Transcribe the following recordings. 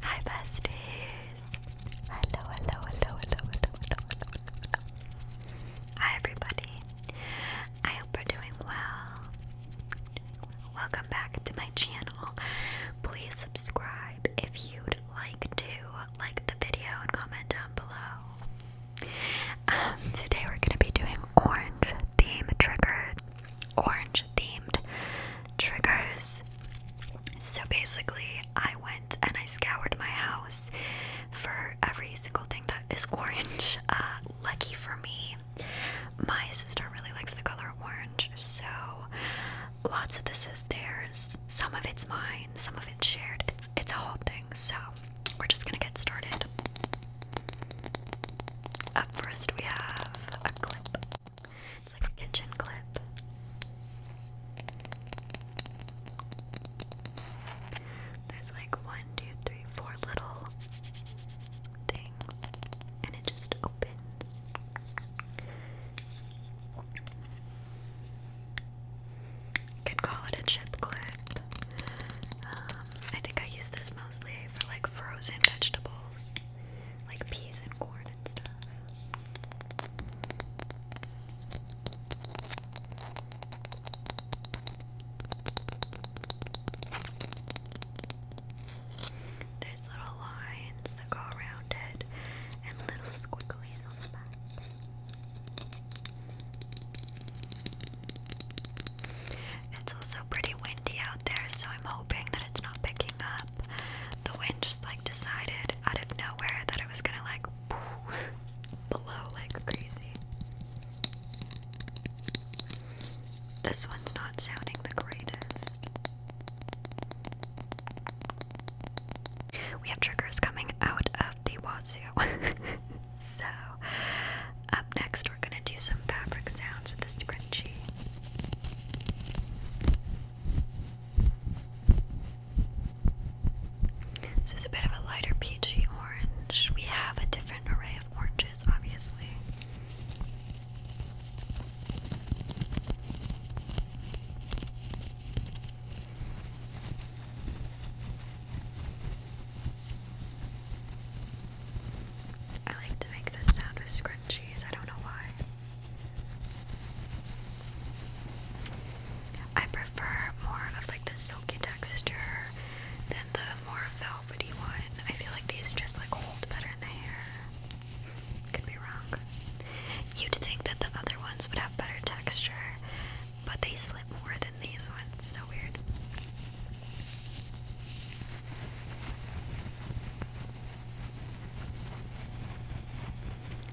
Hi besties! Hello, hello, hello, hello, hello, hello, hello. Hi everybody. I hope you're doing well. Welcome back to my channel. Please subscribe if you'd like to like the video and comment down below. Um, today we're gonna be doing orange theme triggered orange themed triggers. So basically, I went and I scoured my house for every single thing that is orange. Uh, lucky for me, my sister really likes the color orange, so lots of this is theirs. Some of it's mine, some of it's shared. It's it's a whole thing. So we're just gonna get started. Up first, we have a clip it's like a kitchen clip. There's like one, two, three, four little things, and it just opens. could call it a chip clip. Um, I think I use this mostly for like frozen vegetables, like peas and corn there's little lines that go around it and little squigglies It's also pretty windy out there, so I'm hoping that it's not picking up. The wind just like decided out of nowhere that it was gonna like blow like crazy. This one's not sounding the greatest. We have triggers coming out of the wazoo. so, up next, we're gonna do some fabric sounds with this scrunchie. This is a bit of a lighter peachy orange. We have a different array of oranges, obviously. I like to make this sound with scrunchies, I don't know why. I prefer more of like the silky texture than the more velvety one. I feel like these just like hold better in the hair. Could be wrong. You'd think that the other ones would have better texture, but they slip more than these ones. So weird.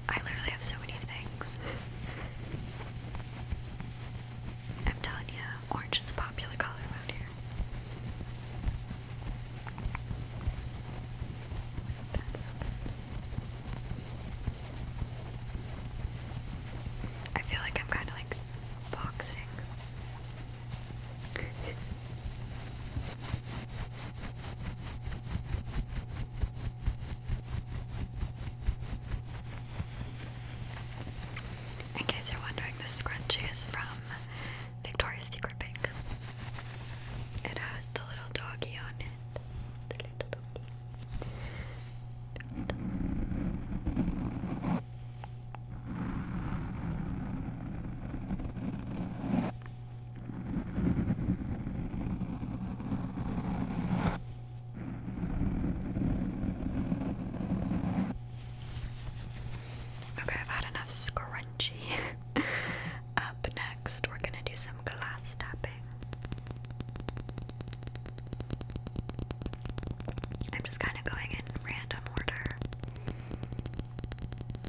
I literally have so many things. I'm telling you, orange is a popular color around here. That's I feel like I'm kind of like boxing in case you're wondering, this scrunchie is from Victoria's Secret Pink. It has the little doggy on it. The little doggy. Okay, I've had enough scrunchy. Up next, we're gonna do some glass tapping. I'm just kind of going in random order.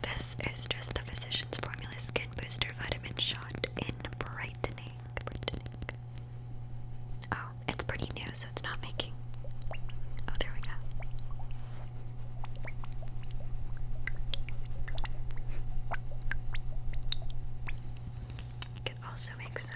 This is just the Physicians Formula Skin Booster Vitamin Shot in Brightening. Oh, it's pretty new, so it's not making. Oh, there we go. You also make some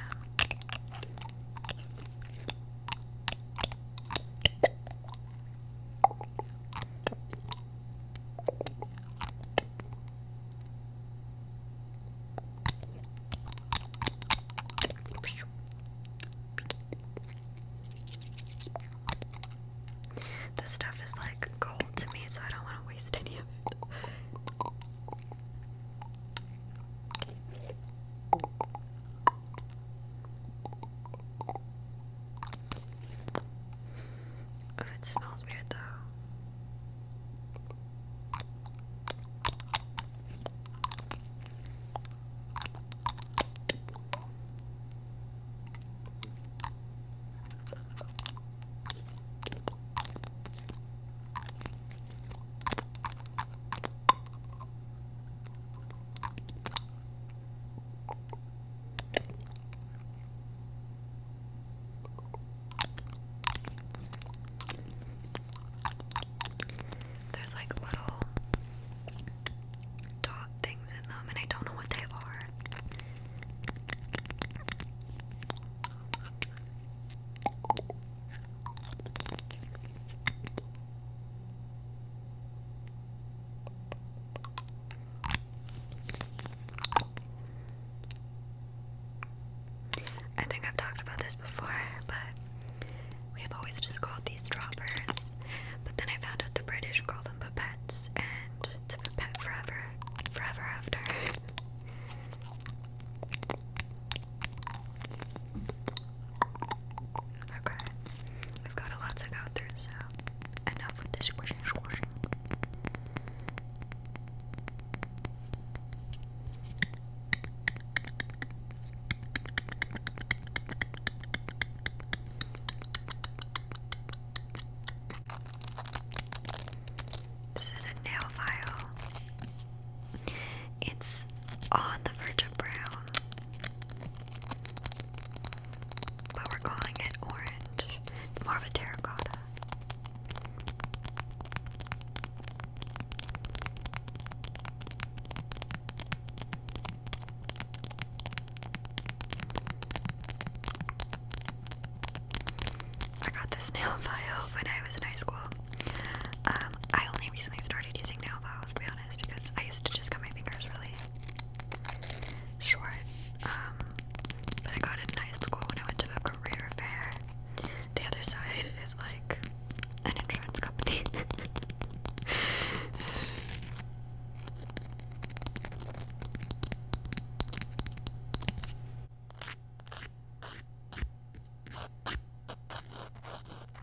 this stuff is like gold to me, so I don't want to waste any Ooh, it smells weird though. There's like little dot things in them, and I don't know what they are. I think I've talked about this before, but we've always just called these droppers. But then I found out the British call them pipettes, and it's a pipette forever, forever after. Okay. I've got a lot to go through, so enough with the squishing, squishing. This is a nail file. It's on the verge of brown. But we're calling it orange. more of a terracotta. I got this nail file when I was in high school. Um, I only recently started using nail files, because I used to just cut my fingers really short. Um, but I got it in high school when I went to a career fair. The other side is like an insurance company.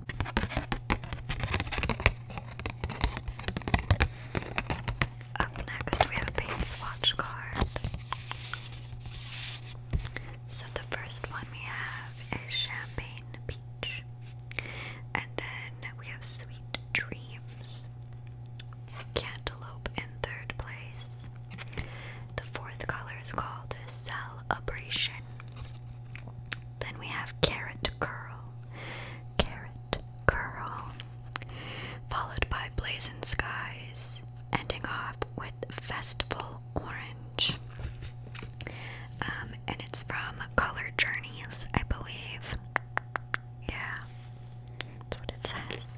Up next, we have a paint swatch card. So, the first one we have is Champagne Peach, and then we have Sweet Dreams, Cantaloupe in third place. The fourth color is called Celebration. Then we have carrot curl, carrot curl, followed by blazing skies, ending off with festival orange. Um, and it's from Color Journeys, I believe. Yeah, that's what it says.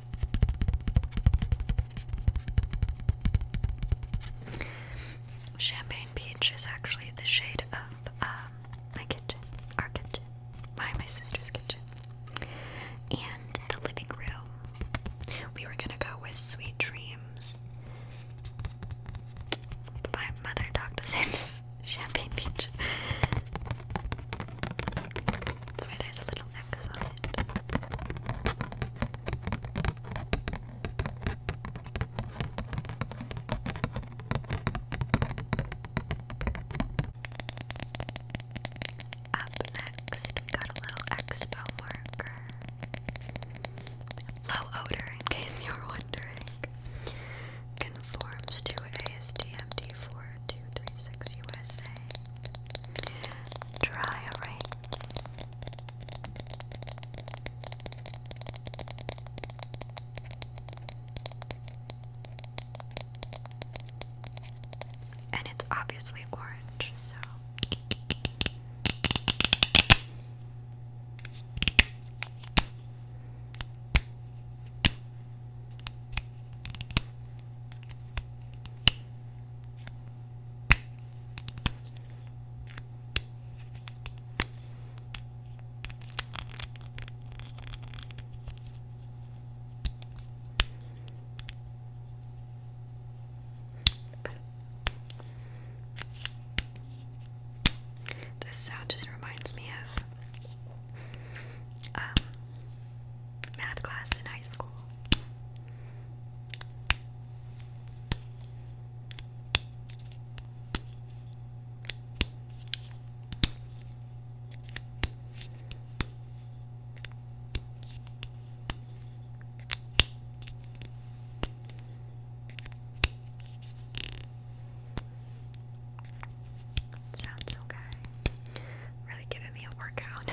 Champagne Peach is actually the shade of um, my kitchen, our kitchen, my my sister's kitchen, and the living room. We were gonna go with Sweet Dreams. My mother talked us into Champagne Peach. That's why there's a little up next, we got a little expo marker. Low odor, in case you were wondering. Conforms to ASTM D4236 USA. Dry erase. And it's obviously orange, so. This sound just reminds me of um, math class in high school. Sounds okay. Really giving me a workout.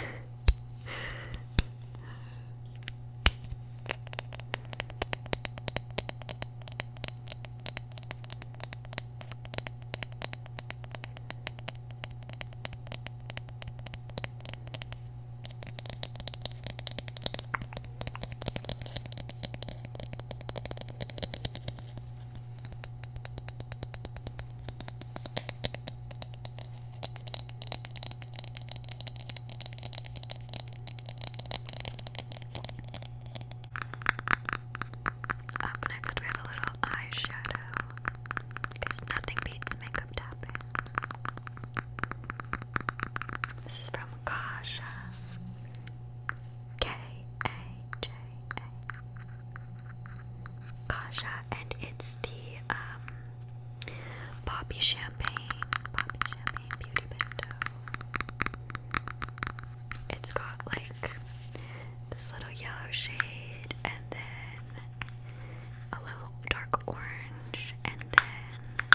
Up next, we have a little eyeshadow because nothing beats makeup tapping. This is from Kasha K A K-J-A. and it's the um, Poppy Champagne, Poppy Champagne Beauty Bento. It's got like this little yellow shade, and then a little dark orange, and then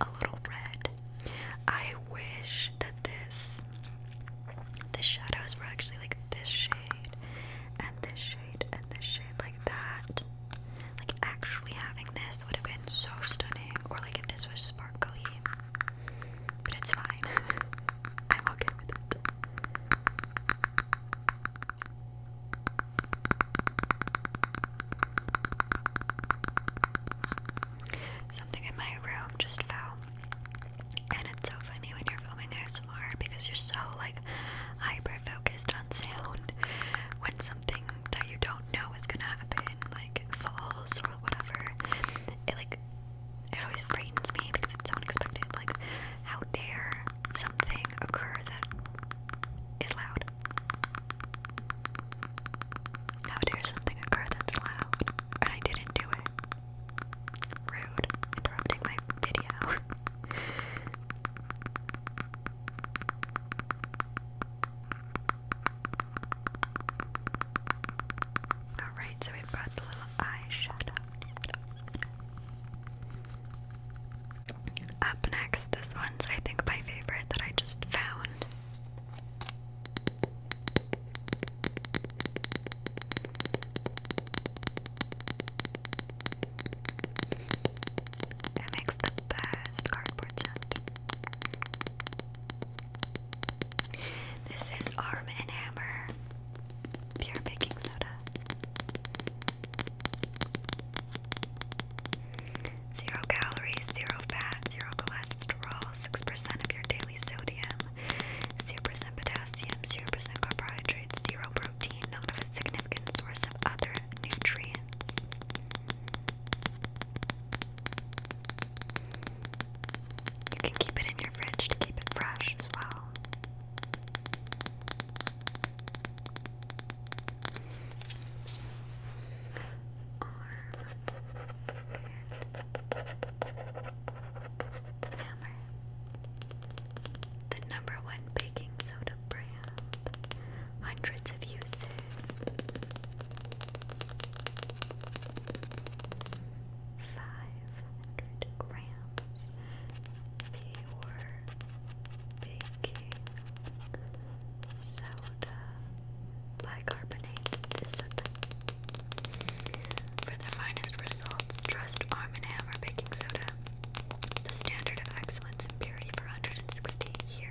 a little red. I wish that this the shadows were actually like this shade and this shade and this shade like that. Like actually having this would have been so stunning. Or like if this was sparkly. But it's fine. I'm okay with it. Something in my room just fell. And it's so funny when you're filming ASMR because you're so like hyper focused on sound when something that you don't know is gonna happen, like falls or whatever. It like it always frightens me because it's so unexpected. Like, how dare something occur that is loud? How dare something occur that's loud? And I didn't do it. Rude, interrupting my video. Alright, so we've got the little eyeshadow. Up next, this one's I think my favorite that I just found. It the best cardboard This is Arm and Hammer pure baking soda. Zero calories, zero fats, zero cholesterol, 6% of your daily sodium, 0% potassium, 0% carbohydrates, 0 protein, not a significant source of other nutrients. You can keep it in your fridge to keep it fresh as well. Hammer, the number one baking soda brand, hundreds of uses. Five hundred grams pure baking soda bicarbonate. This soda for the finest results, trust Arm & Hammer baking soda, the standard of excellence and purity for 160 years.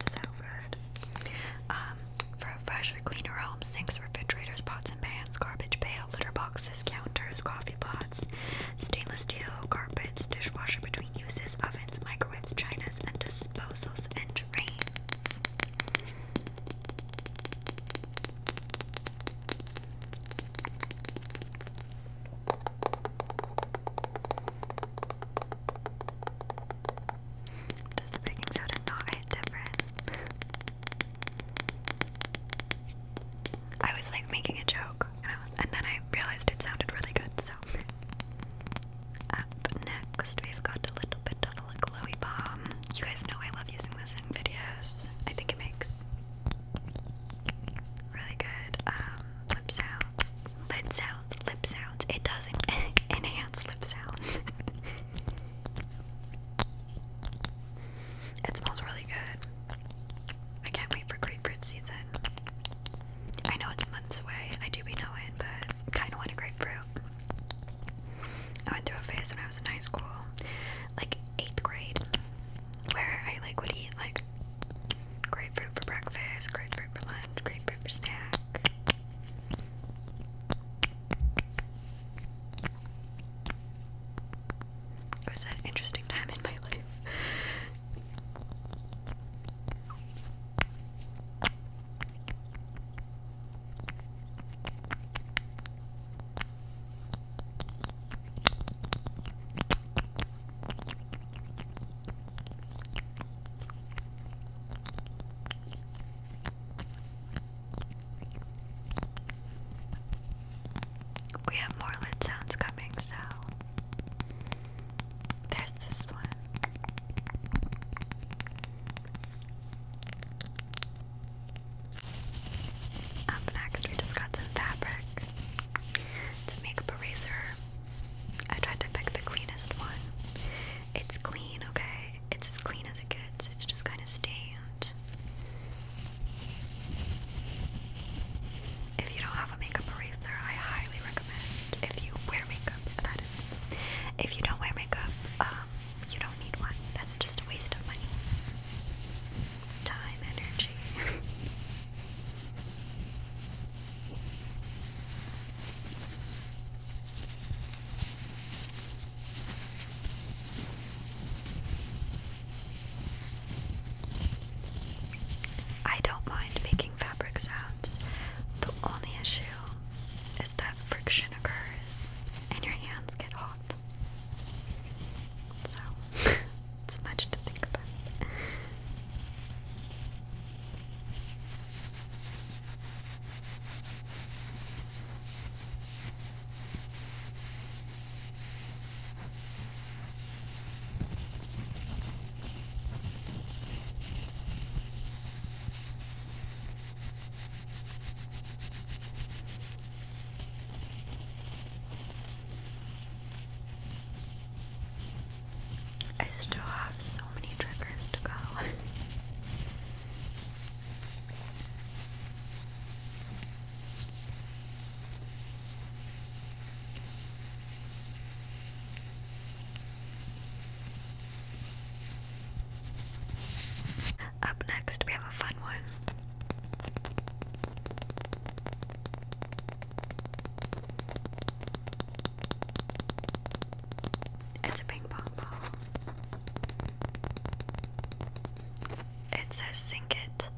So good. Um, for a fresher, cleaner homes, sinks, refrigerators, pots and pans, garbage pail, litter boxes, counters, coffee pots, stainless steel carpets, dishwasher between uses, ovens, microwaves, chinas, and disposals and drains. Does baking soda not hit different? I was like making a joke, and, I and then I realized it sounded really good, so. Up next, we've got a little bit of a glowy bomb. You guys know I love using this in videos. I think it makes Really good um, lip sounds, lid sounds, lip sounds. It doesn't enhance lip sounds. it smells really good. I can't wait for grapefruit season. I know it's months away. I do be knowing, but kind of want a grapefruit. I went a phase when I was in high school, like eighth grade, where I like would eat like Grapefruit for breakfast, grapefruit for lunch, grapefruit for snack. It was an interesting time in my life. We have more lid sounds coming, so there's this one. Up next, we just got some fabric. It's a makeup eraser. I tried to pick the cleanest one. It's clean, okay? It's as clean as it gets. It's just kind of stained. If you don't have a makeup eraser, I highly recommend if you wear makeup, that is. If you don't wear makeup, um, you don't need one. That's just a waste of money time energy. I don't mind making fabric sounds. The only issue is that friction occurs and your hands get hot. So, it's much to think about. I still have so many triggers to go. Up next, we have a fun one. It's a ping pong ball. It says sink it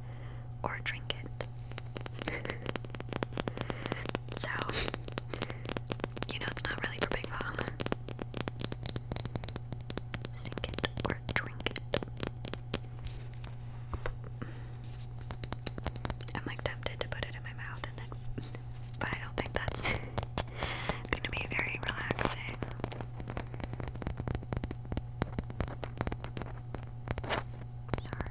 or drink it. so, you know, it's not really for ping pong. Sink it or I'm like tempted to put it in my mouth and then, but I don't think that's gonna be very relaxing. Sorry.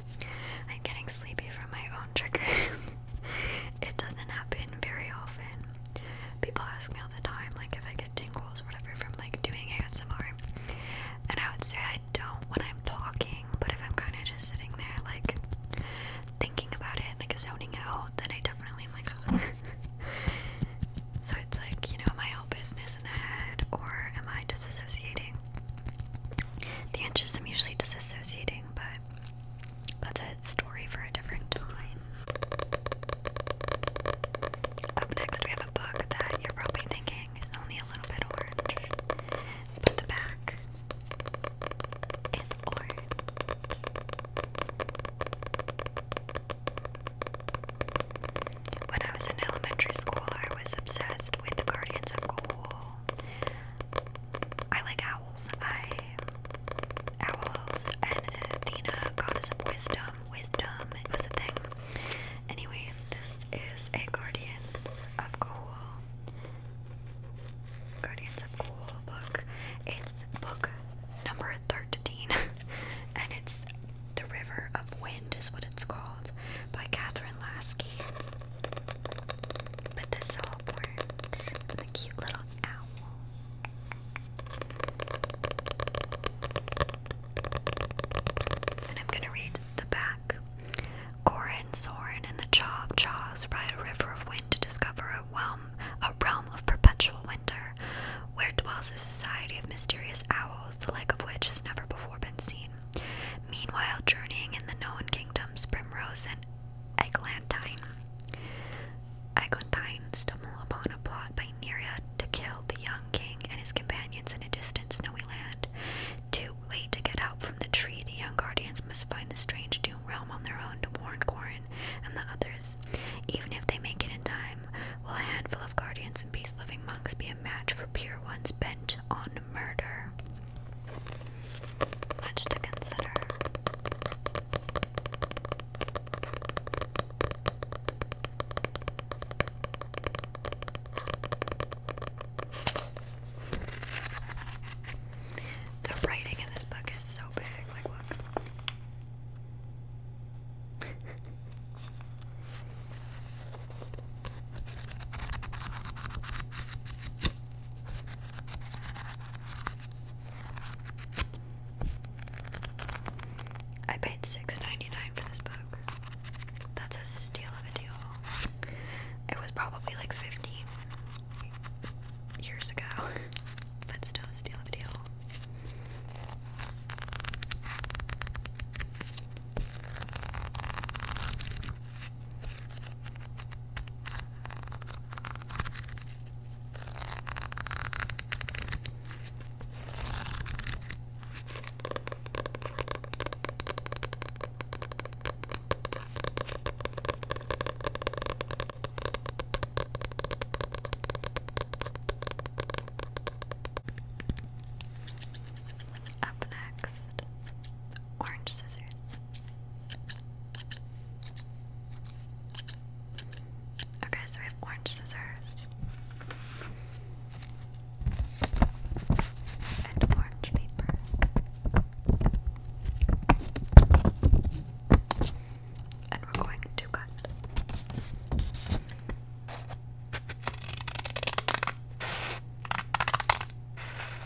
I'm getting sleepy from my own triggers. it doesn't happen very often. People ask me all the time, like, if I get tingles or whatever from like doing ASMR. And I would say I don't when I'm talking, but if I'm kind of just sitting there, like, thinking about it, like, zoning out, then I definitely am like, so it's like, you know, am I all business in the head or am I disassociating? The answers I'm usually disassociating, but that's a story for a different time. Up next, we have a book that you're probably thinking is only a little bit orange, but the back is orange. When I was in elementary school, I was obsessed with Guardians of Ghoul. I like owls. I owls and Athena, goddess of wisdom. Wisdom it was a thing. Anyway, this is a Guardians of Cool. Guardians of Cool book. It's book number thirteen, and it's The River of Wind is what it's called by Catherine Lasky. But the saltworm the cute little owl. And I'm gonna read the back. Gorin, Sorin, and the Chaw Chaws ride a river of wind to discover a realm, a realm of perpetual winter, where dwells a society of mysterious owls, the like of which has never before been seen. Meanwhile, journeying in the known kingdoms, Primrose and Eglantine, Eglantine stumble upon a plot by Neria to kill the young king and his companions in a distant snowy land. Too late to get help from the tree, the young guardians must find the strange doom realm on their own to warn Corin and the others. Even if they make it in time, will a handful of guardians and peace-loving monks be a match for pure ones bent on murder. Much to consider. The writing in this book is so big, like, look. I paid $6.99 for this book. That's a steal of a deal. It was probably like 15 years ago, but still a steal of a deal. Up next orange scissors. Okay, so we have orange scissors and orange paper. And we're going to cut.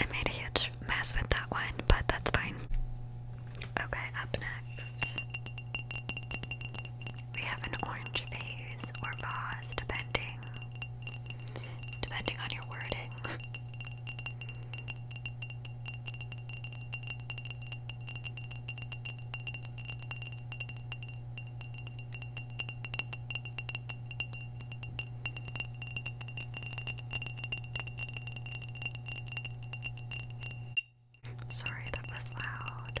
I made a huge mess with that one, but that's fine. Okay, up next, we have an orange vase or vase, depending depending on your wording. Sorry, that was loud.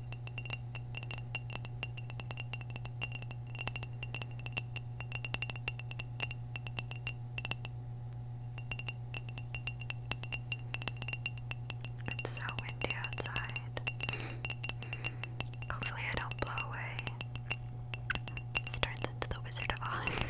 It's so windy outside. Hopefully, I don't blow away. This turns into the Wizard of Oz.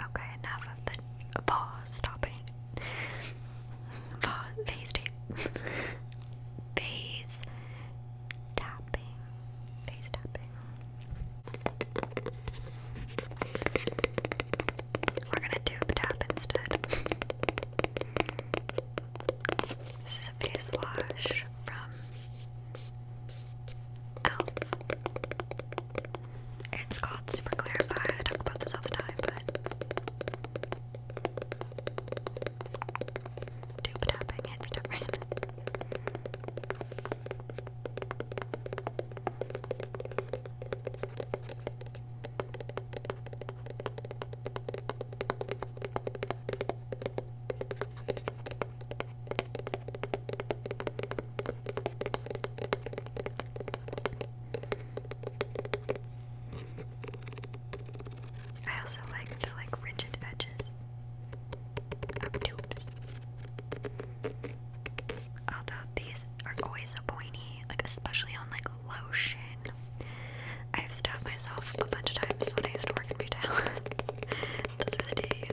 Okay, enough of the Face tapping. Face tapping. We're gonna tube tap instead. This is a face wash from Ow. Oh. It's called Super Clarify. I talk about this all the time, but dupe tapping, it's different. I also like the like rigid edges of tubes. Although these are always so pointy, like especially on like lotion. I've stabbed myself a bunch of times when I used to work in retail. Those were the days.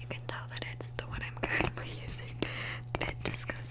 You can tell that it's the one I'm currently using. Bit disgusting.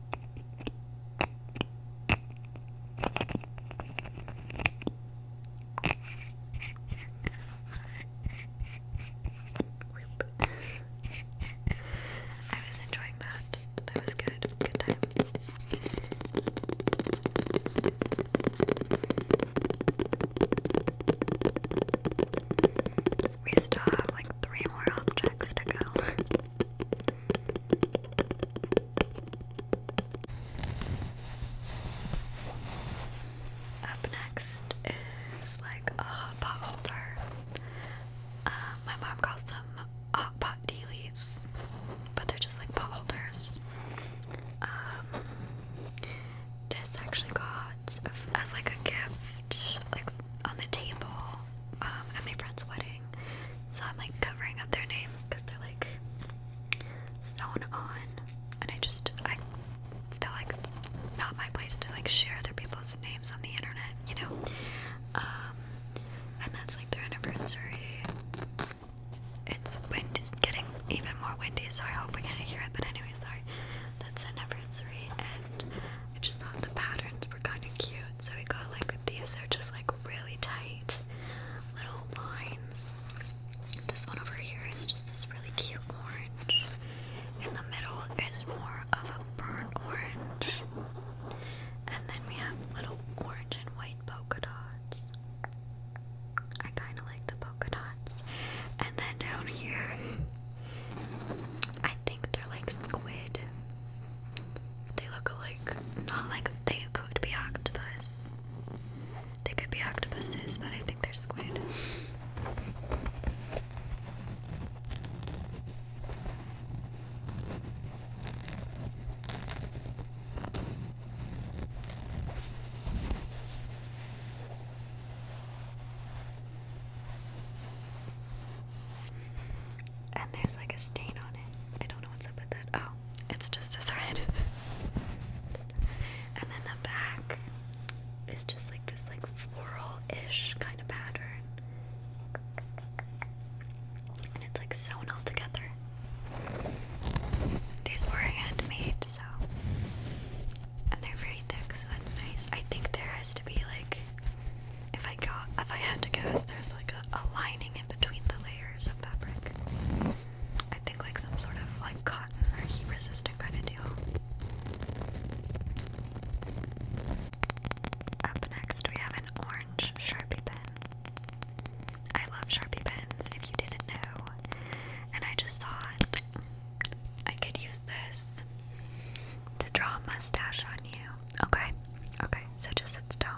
I was enjoying that. That was good. Good time. We still have like three more objects to go. Up next is like a pot holder. Uh, my mom calls them pot dealies, but they're just like pot holders. Um, this actually got as like a gift, like on the table um, at my friend's wedding, so I'm like covering up their names because they're like sewn on, and I just I feel like it's not my place to like share other people's names on the internet, you know. Um, and that's like their anniversary. It's windy, it's getting even more windy, so I hope we can't hear it. But anyway, sorry. That's anniversary, and I just thought the patterns were kind of cute, so we got like these are just like like really tight little lines. This one over here is just this really cute orange. In the middle is more of a burnt orange. And then we have little orange and white polka dots. I kind of like the polka dots. And then down here, I think they're like squid. They look alike. Not like they could be octopus. They could be octopuses, but I think they're squid and there's like a stain on it. I don't know what's up with that. Oh, it's just a thread. and then the back is just like this like floral-ish kind of pattern. And it's like sewn all together. These were handmade, so and they're very thick, so that's nice. I think there has to be like if I got if I had to guess there's like a, lining in between the layers of fabric. I think like some sort of like cotton or heat resistant kind of deal. Up next we have an orange Sharpie pen. I love Sharpie pens if you didn't know. And I just thought I could use this to draw a mustache on you. Okay. Okay. So just sit still.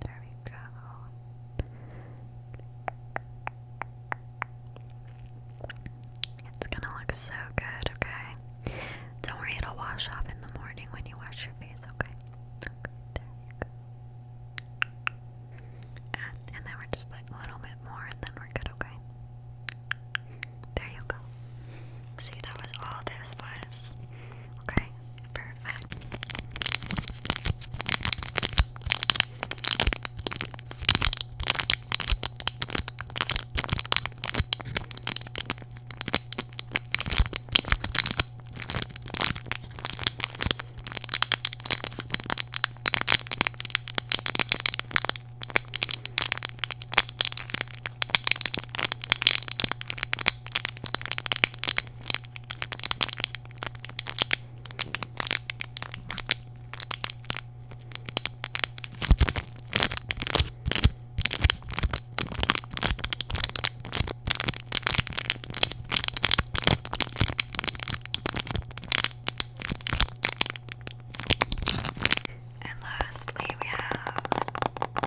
There we go. It's gonna look so good, okay? Don't worry, it'll wash off in the morning when you wash your face, okay? there you go. and then we're just like a little bit more and then we're good, okay? There you go. See, that was all this was. Okay, perfect. And lastly, we have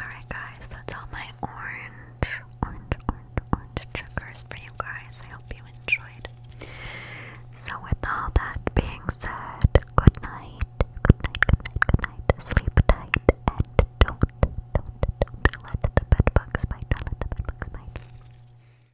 Alright, guys, that's all my orange, orange, orange, orange triggers for you guys. I hope you enjoyed. So, with all that being said, good night, good night, good night, good night. Sleep tight and don't, don't, don't let the bed bite. Don't let the bed bite.